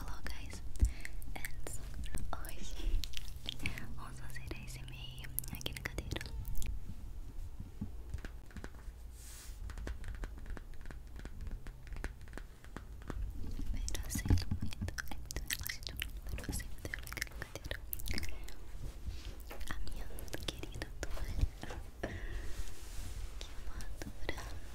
Olá, guys, and hoje vamos fazer esse meio aqui na cadeira. Espero assim muito, é muito relaxante para você poder aqui na cadeira. A minha querida toalha, que eu é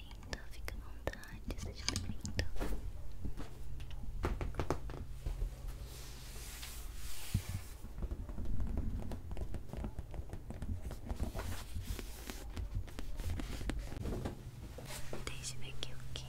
bem-vindo, fica à vontade, seja bem-vindo. Deixa eu ver aqui o que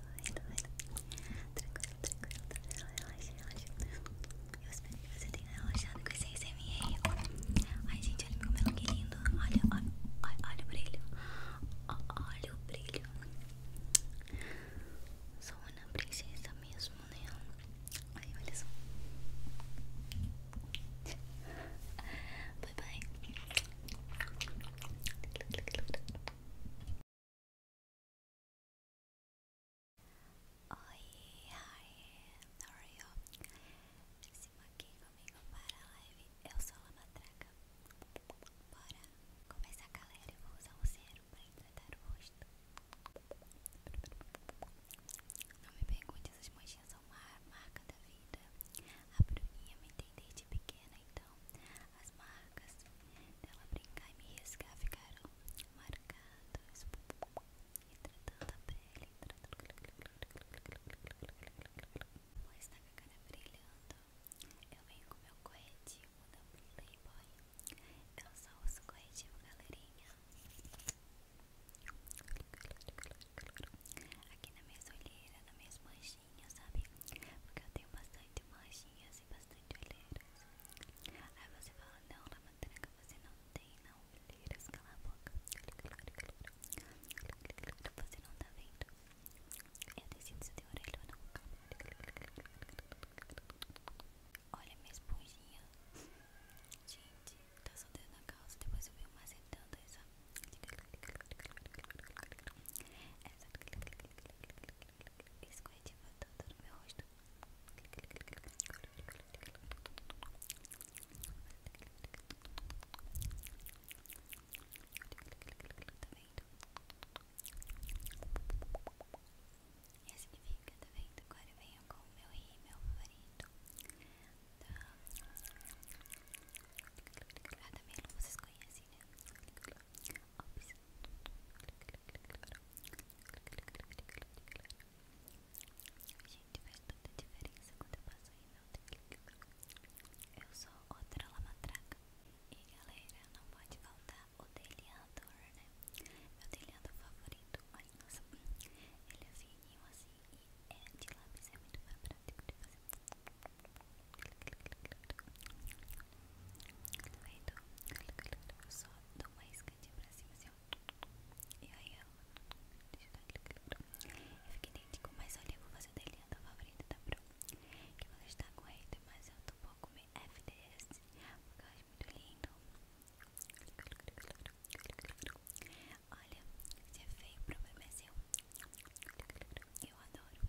Tranquilo, tranquilo, tranquilo. Tá relaxa, relaxa. Eu espero que você tenha relaxado com esses m ASMR. Ai, gente, olha meu cabelo que lindo. Olha, olha, olha, olha o brilho. Olha o brilho. Sou uma princesa mesmo, né? Ai, olha só. Bye bye. Oi, hi, how are you? Estamos aqui comigo para a live. Eu sou a Matraca. Bora começar, galera. Eu vou usar o zero para hidratar o rosto. Não me pergunte, essas manchinhas são uma marca da vida. A Bruninha me entende de pequena, então as marcas dela brincar e me riscar ficaram marcadas, hidratando a pele, hidratando. Pois tá com a cara brilhando. Eu venho com meu corretivo da Playboy. Eu só uso corretivo, galerinha. Aqui na minha olheira, nas minhas manchinhas, sabe? Porque eu tenho bastante manchinhas e bastante olheiras. Aí você fala, não, Lamandraca, você não tem não olheiras, cala a boca. Você não tá vendo. Eu é decido se tem orelha ou não. Olha minha esponjinha. Gente, tá solteiro na calça. Depois eu vi o macetando essa. Essa. Esse corretivo todo no meu rosto. Tá vendo? Esse significa, tá vendo? Agora eu venho com o meu rímel favorito da da Melo, vocês conhecem, né? Gente, faz toda diferença quando eu passo em meu Eu sou outra lamatraca. E galera, não pode faltar o deliador né? Meu deliador favorito. Ai, nossa, ele havia pequenininho assim e é de lápis é muito mais prático de fazer Tá vendo? Eu só dou uma escadinha pra cima assim ó E aí eu Deixa eu dar Eu fiquei idêntico, mas olha eu vou fazer da linha da favorita da tá Pro Que vou deixar com ele, mas eu tô um pouco meio FDS Porque eu acho muito lindo Olha, você veio pro bebê seu. Eu adoro.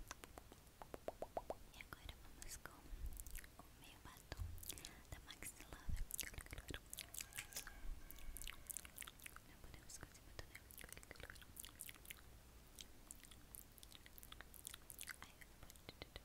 E agora vamos com o meio batom da Max Não podemos fazer batom, Ai, eu não posso.